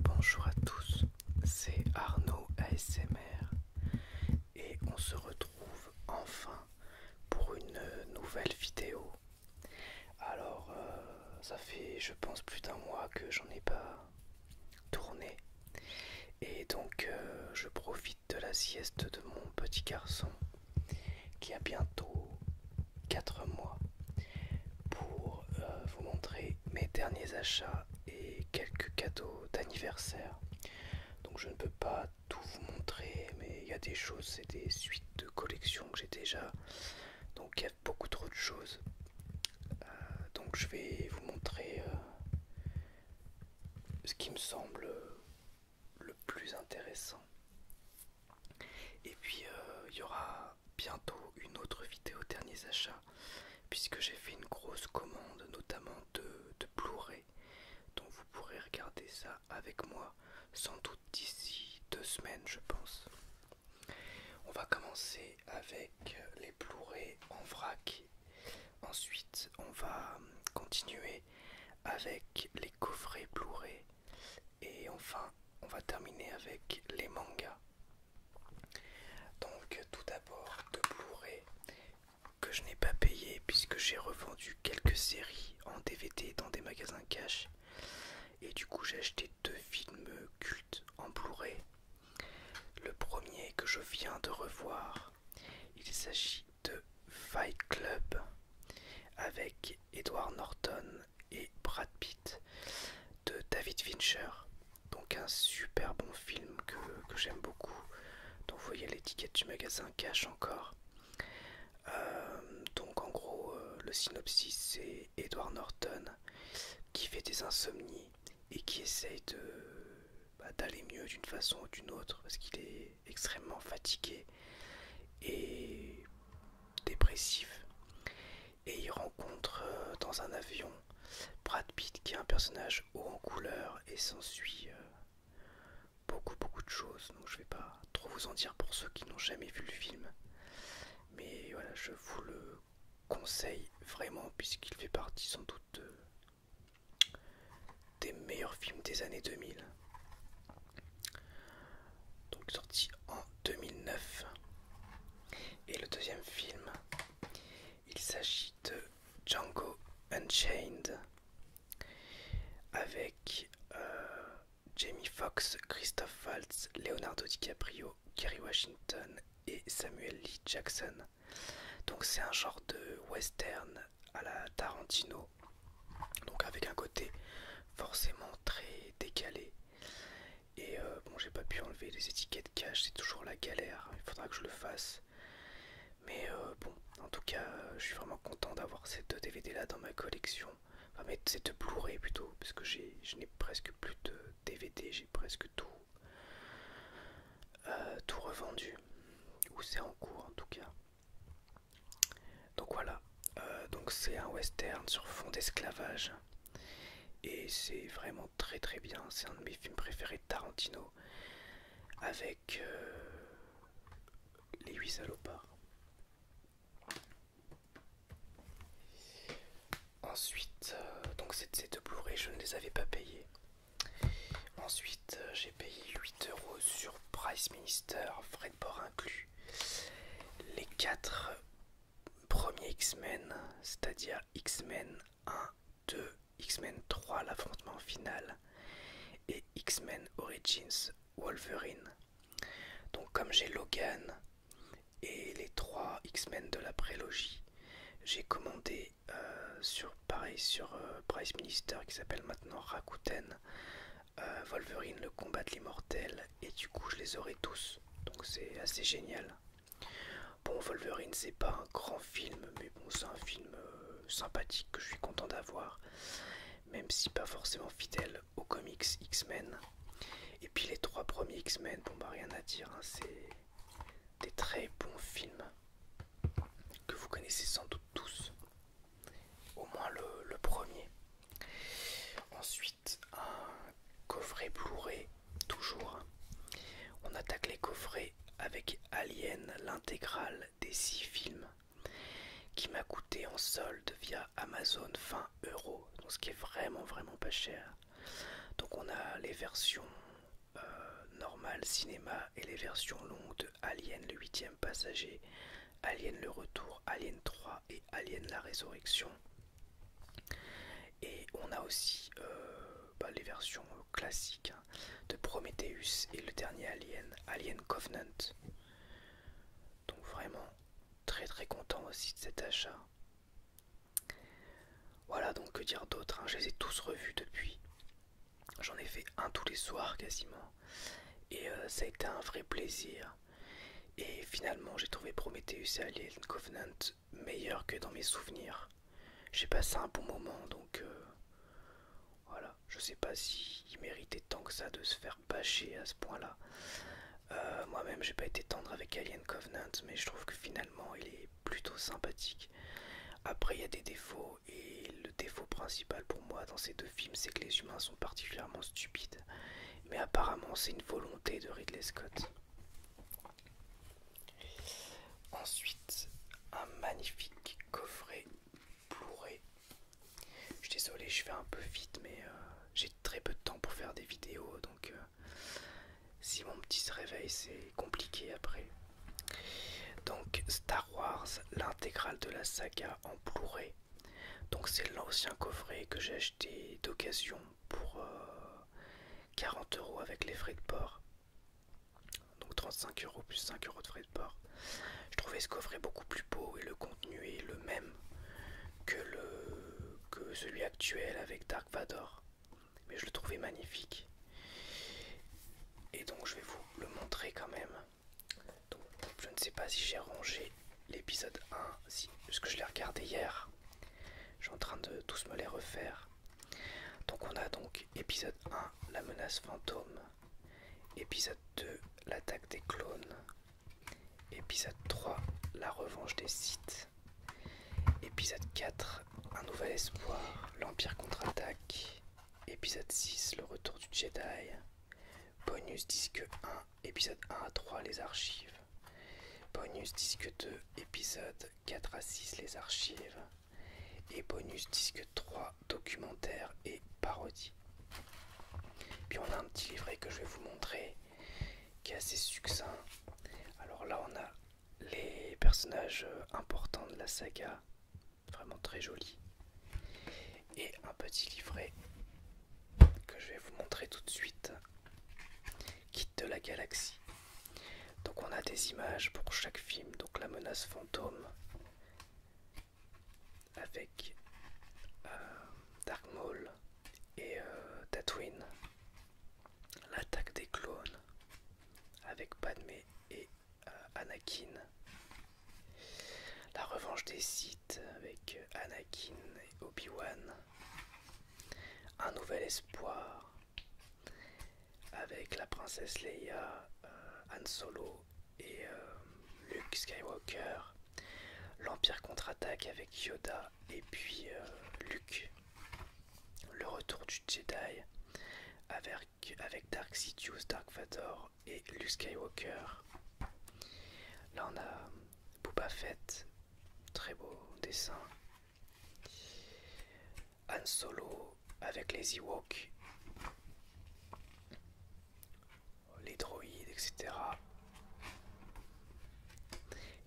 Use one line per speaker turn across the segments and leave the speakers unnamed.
Bonjour à tous, c'est Arnaud ASMR et on se retrouve enfin pour une nouvelle vidéo. Alors, euh, ça fait je pense plus d'un mois que j'en ai pas tourner. Et donc euh, je profite de la sieste de mon petit garçon qui a bientôt 4 mois pour euh, vous montrer mes derniers achats et quelques cadeaux d'anniversaire. Donc je ne peux pas tout vous montrer, mais il y a des choses, c'est des suites de collections que j'ai déjà. Donc il y a beaucoup trop de choses. Euh, donc je vais vous montrer ce qui me semble le plus intéressant. Et puis euh, il y aura bientôt une autre vidéo derniers achats puisque j'ai fait une grosse commande notamment de, de Blu-ray donc vous pourrez regarder ça avec moi sans doute d'ici deux semaines je pense. On va commencer avec euh, les Blu-ray en vrac. Ensuite, on va hum, continuer avec les coffrets Blu-ray. Et enfin, on va terminer avec les mangas. Donc, tout d'abord, de Blu-ray que je n'ai pas payé puisque j'ai revendu quelques séries en DVD dans des magasins cash. Et du coup, j'ai acheté deux films cultes en Blu-ray le premier que je viens de revoir, il s'agit de Fight Club avec Edward Norton et Brad Pitt de David Fincher. Donc un super bon film que, j'aime beaucoup, Donc vous voyez l'étiquette du magasin cache encore. Euh, donc en gros, euh, le synopsis c'est Edward Norton qui fait des insomnies et qui essaye de, bah, d'aller mieux d'une façon ou d'une autre parce qu'il est extrêmement fatigué et dépressif. Et il rencontre euh, dans un avion Brad Pitt qui est un personnage haut en couleur et s'ensuit euh, beaucoup beaucoup de choses. Donc je vais pas trop vous en dire pour ceux qui n'ont jamais vu le film. Mais voilà, je vous le conseil vraiment puisqu'il fait partie sans doute euh, des meilleurs films des années 2000. Donc sorti en 2009. Et le deuxième film, il s'agit de Django Unchained avec euh, Jamie Foxx, Christophe Waltz, Leonardo DiCaprio, Kerry Washington et Samuel Lee Jackson. Donc c'est un genre de western à la Tarantino, donc avec un côté forcément très décalé. Et euh, bon, j'ai pas pu enlever les étiquettes cash, c'est toujours la galère, il faudra que je le fasse. Mais euh, bon, en tout cas, euh, je suis vraiment content d'avoir ces deux DVD là dans ma collection. Enfin, mais cette Blu-ray plutôt, parce que je n'ai presque plus de DVD, j'ai presque tout euh, tout revendu ou c'est en cours en tout cas donc voilà euh, donc c'est un western sur fond d'esclavage et c'est vraiment très très bien c'est un de mes films préférés de Tarantino avec euh, les huit salopards Ensuite, euh, donc ces deux Blu-ray, je ne les avais pas payés. Ensuite, euh, j'ai payé 8€ sur Price Minister, frais de bord inclus. Les 4 premiers X-Men, c'est-à-dire X-Men 1, 2, X-Men 3, l'affrontement final, et X-Men Origins Wolverine. Donc, comme j'ai Logan et les 3 X-Men de la prélogie, j'ai commandé euh, sur pareil sur euh, Price Minister qui s'appelle maintenant Rakuten euh, Wolverine le combat de l'immortel et du coup je les aurai tous donc c'est assez génial. Bon Wolverine c'est pas un grand film mais bon c'est un film sympathique que je suis content d'avoir même si pas forcément fidèle aux comics X-Men. Et puis les trois premiers X-Men, bon bah rien à dire, hein, c'est des très bons films que vous connaissez sans doute tous, au moins le, premier. Ensuite, un coffret Blu-ray, toujours. On attaque les coffrets avec Alien, l'intégrale des six films, qui m'a coûté en solde via Amazon 20 euros, donc ce qui est vraiment vraiment pas cher. Donc on a les versions euh, normal cinéma et les versions longues de Alien le huitième passager, Alien le retour, Alien 3 et Alien la résurrection. Et on a aussi euh, bah, les versions classiques hein, de Prometheus et le dernier Alien, Alien Covenant. Donc vraiment très très content aussi de cet achat. Voilà donc que dire d'autre, hein. je les ai tous revus depuis. J'en ai fait un tous les soirs quasiment. Et euh, ça a été un vrai plaisir. Et finalement j'ai trouvé Prometheus et Alien Covenant meilleurs que dans mes souvenirs. J'ai passé un bon moment donc euh, voilà. Je sais pas s'il il méritait tant que ça de se faire bâcher à ce point-là. Euh, moi-même j'ai pas été tendre avec Alien Covenant mais je trouve que finalement il est plutôt sympathique. Après, il y a des défauts, et le défaut principal pour moi dans ces deux films, c'est que les humains sont particulièrement stupides. Mais apparemment, c'est une volonté de Ridley Scott. Ensuite, un magnifique coffret blu Je suis désolé, je fais un peu vite, mais euh, j'ai très peu de temps pour faire des vidéos, donc euh, si mon petit se réveille, c'est compliqué après. Donc Star Wars, l'intégrale de la saga en blu Donc c'est l'ancien coffret que j'ai acheté d'occasion pour 40 euh, euros avec les frais de port. Donc 35 euros plus 5 euros de frais de port. Je trouvais ce coffret beaucoup plus beau et le contenu est le même que celui actuel avec Dark Vador mais je le trouvais magnifique et donc je vais vous le montrer quand même je ne sais pas si j'ai rangé l'épisode 1 puisque je l'ai regardé hier je suis en train de tous me les refaire donc on a donc épisode 1 la menace fantôme épisode 2 l'attaque des clones épisode 3 la revanche des sites Épisode 4, Un nouvel espoir, l'Empire contre-attaque. Épisode 6, Le retour du Jedi. Bonus disque 1, épisode 1 à 3, les archives. Bonus disque 2, épisode 4 à 6, les archives. Et bonus disque 3, documentaire et parodie. Puis on a un petit livret que je vais vous montrer qui est assez succinct. Alors là, on a les personnages euh, importants de la saga, vraiment très jolis, et un petit livret que je vais vous montrer tout de suite, Kit de la galaxie. Donc on a des images pour chaque film, donc la menace fantôme avec euh, Dark Maul et euh, Tatooine. L'attaque des clones avec Padmé et euh, Anakin. La revanche des Sith avec euh, Anakin et Obi-Wan. Un nouvel espoir avec la princesse Leia, euh, Han Solo et Luke Skywalker. L'Empire contre-attaque avec Yoda et puis Luke. Le retour du Jedi avec, Dark Sidious, Dark Vador et Luke Skywalker. Là on a Boba Fett, très beau dessin. Han Solo avec les Ewoks, les droïdes, etc.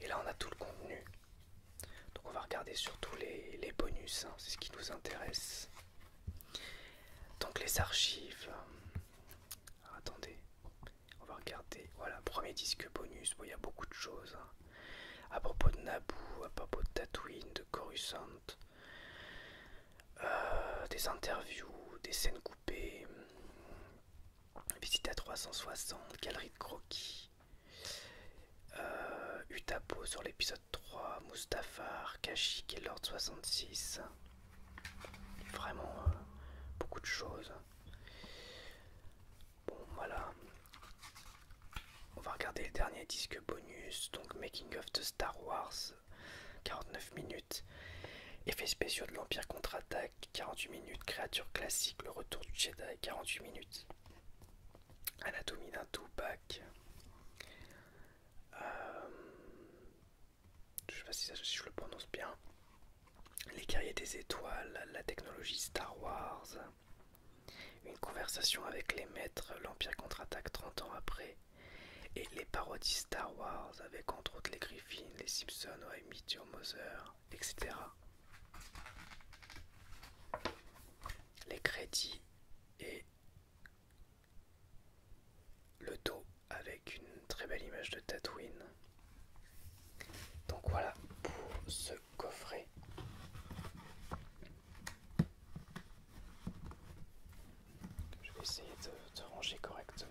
Et là, on a tout le contenu. Donc, on va regarder surtout les, bonus, hein. c'est ce qui nous intéresse. Donc, les archives. attendez, on va regarder. Voilà, premier disque bonus. il y a beaucoup de choses. Hein. À propos de Naboo, à propos de Tatooine, de Coruscant. Euh, des interviews, des scènes coupées, Visite à 360, galerie de croquis. Euh, Utapo sur l'épisode 3, Mustafar, Kashi et Lord 66. Vraiment euh, beaucoup de choses. Bon voilà. On va regarder le dernier disque bonus, donc Making of the Star Wars, 49 minutes. Effets spéciaux de l'Empire contre-attaque 48 minutes. Créature classique, le retour du Jedi 48 minutes. Anatomie d'un tupac euh, je sais pas si, je le prononce bien. Les guerriers des étoiles, la technologie Star Wars. Une conversation avec les maîtres, l'Empire contre-attaque 30 ans après. Et les parodies Star Wars avec entre autres les Griffins, les Simpsons, Oemi, Moser etc. Les crédits et le dos avec une très belle image de Tatooine. Donc voilà pour ce coffret. Je vais essayer de, de ranger correctement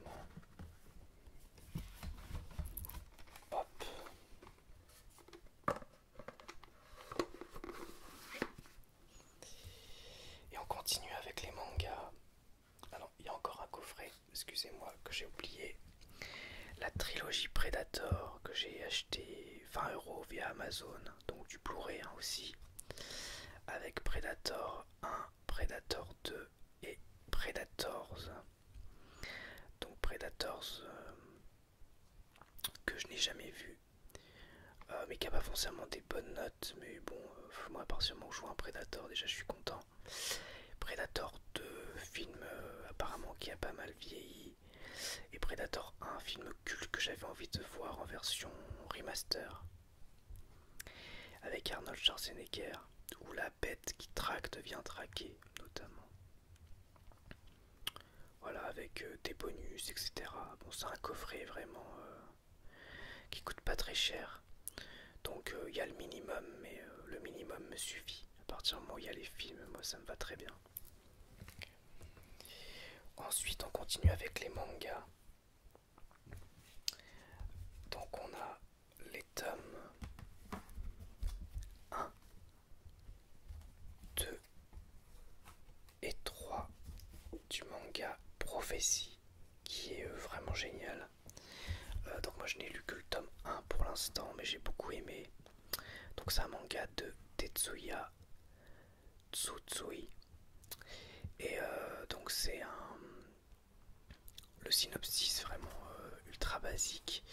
et on continue avec les mangas. Alors, ah il y a encore un coffret, excusez-moi, que j'ai oublié. La trilogie Predator que j'ai acheté 20 euros via Amazon, donc du Blu-ray hein, aussi. Avec Predator 1, Predator 2 et Predators. Donc Predators euh, que je n'ai jamais vu, euh, mais qui n'a pas forcément des bonnes notes. Mais bon, euh, moi à partir je vois un Predator, déjà je suis content. Predator 2, film apparemment qui a pas mal vieilli. Et Predator 1, film culte que j'avais envie de voir en version remaster. Avec Arnold Schwarzenegger, ou la bête qui tracte vient traquer notamment. Voilà, avec euh, des bonus, etc. Bon, c'est un coffret vraiment euh, qui coûte pas très cher. Donc euh, il y a le minimum, mais le minimum me suffit. À partir du moment où il y a les films, moi ça me va très bien. Ensuite, on continue avec les mangas. Donc on a les tomes 1, 2 et 3 du manga Prophétie qui est euh, vraiment génial. Euh, donc moi je n'ai lu que le tome 1 pour l'instant mais j'ai beaucoup aimé. Donc c'est un manga de Tetsuya Tsutsui. Et euh, donc c'est un, le synopsis vraiment euh, ultra basique,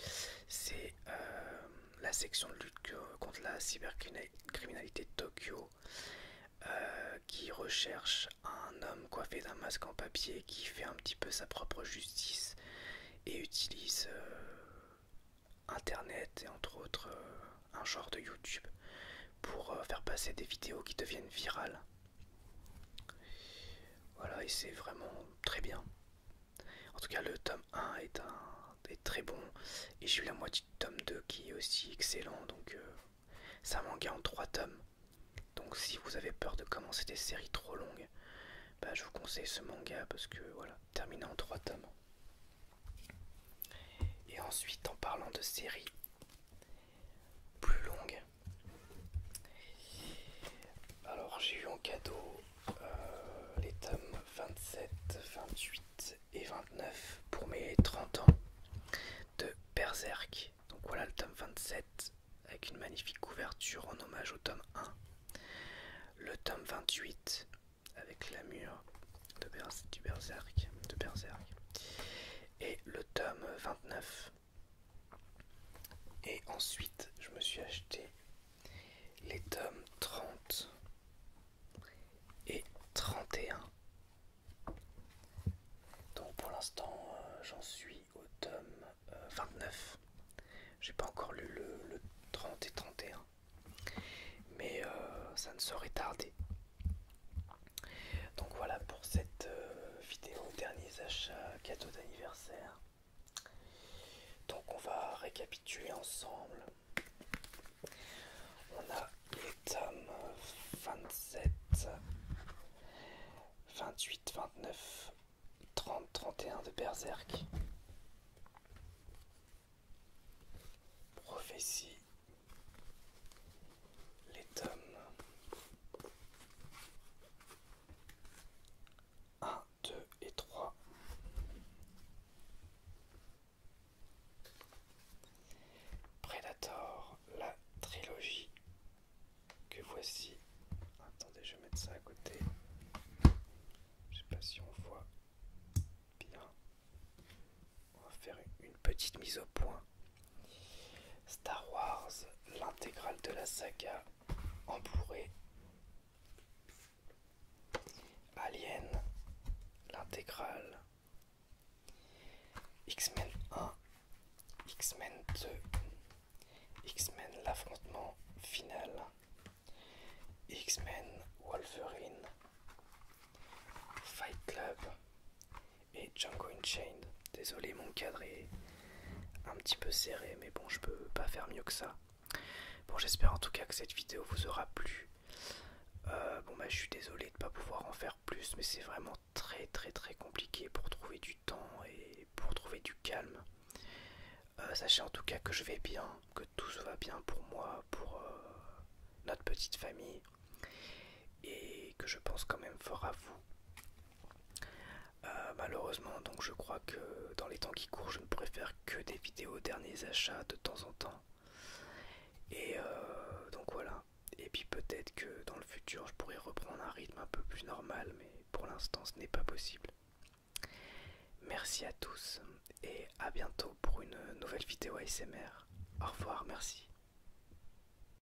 c'est euh, la section de lutte contre la cybercriminalité de Tokyo euh, qui recherche un homme coiffé d'un masque en papier qui fait un petit peu sa propre justice et utilise Internet et entre autres un genre de YouTube pour faire passer des vidéos qui deviennent virales. Voilà, et c'est vraiment très bien. En tout cas, le tome 1 est, un, très bon. Et j'ai eu la moitié de tome 2 qui est aussi excellent. Donc, euh, c'est un manga en 3 tomes. Donc, si vous avez peur de commencer des séries trop longues, bah, je vous conseille ce manga parce que voilà, terminé en 3 tomes. Et ensuite, en parlant de séries plus longues, alors j'ai eu en cadeau euh, les tomes 27, 28 et 29 pour mes 30 ans de Berserk. Donc voilà le tome 27 avec une magnifique couverture en hommage au tome 1. Le tome 28 avec la de de Berserk. Et le tome 29 et ensuite, je me suis acheté les tomes 30 et 31. Donc pour l'instant, euh, j'en suis au tome 29. Euh, J'ai pas encore lu le, 30 et 31. Mais euh, ça ne saurait tarder. Donc voilà pour cette vidéo, derniers achats, cadeaux d'anniversaire. Donc on va récapituler ensemble. On a les tomes 27, 28, 29, 30, 31 de Berserk. Prophétie. Les tomes 1, 2 et 3. Predator, la trilogie que voici. Attendez, je vais mettre ça à côté. Je ne sais pas si on voit bien. On va faire une petite mise au point Star Wars, l'intégrale de la saga en Alien, l'intégrale. X-Men 1, X-Men 2, X-Men l'affrontement final, X-Men Wolverine, Fight Club, et Django Unchained. Désolé, mon cadre est un petit peu serré, mais bon, je peux pas faire mieux que ça. Bon, j'espère en tout cas que cette vidéo vous aura plu. Euh, bon, bah, je suis désolé de ne pas pouvoir en faire plus, mais c'est vraiment très, très, très compliqué pour trouver du temps et pour trouver du calme. Euh, sachez en tout cas que je vais bien, que tout se va bien pour moi, pour euh, notre petite famille, et que je pense quand même fort à vous. Euh, malheureusement, donc je crois que dans les temps qui courent, je ne pourrai faire que des vidéos derniers achats de temps en temps. Et euh, donc voilà. Et puis peut-être que dans le futur, je pourrais reprendre un rythme un peu plus normal, mais pour l'instant, ce n'est pas possible. Merci à tous et à bientôt pour une nouvelle vidéo ASMR. Au revoir, merci.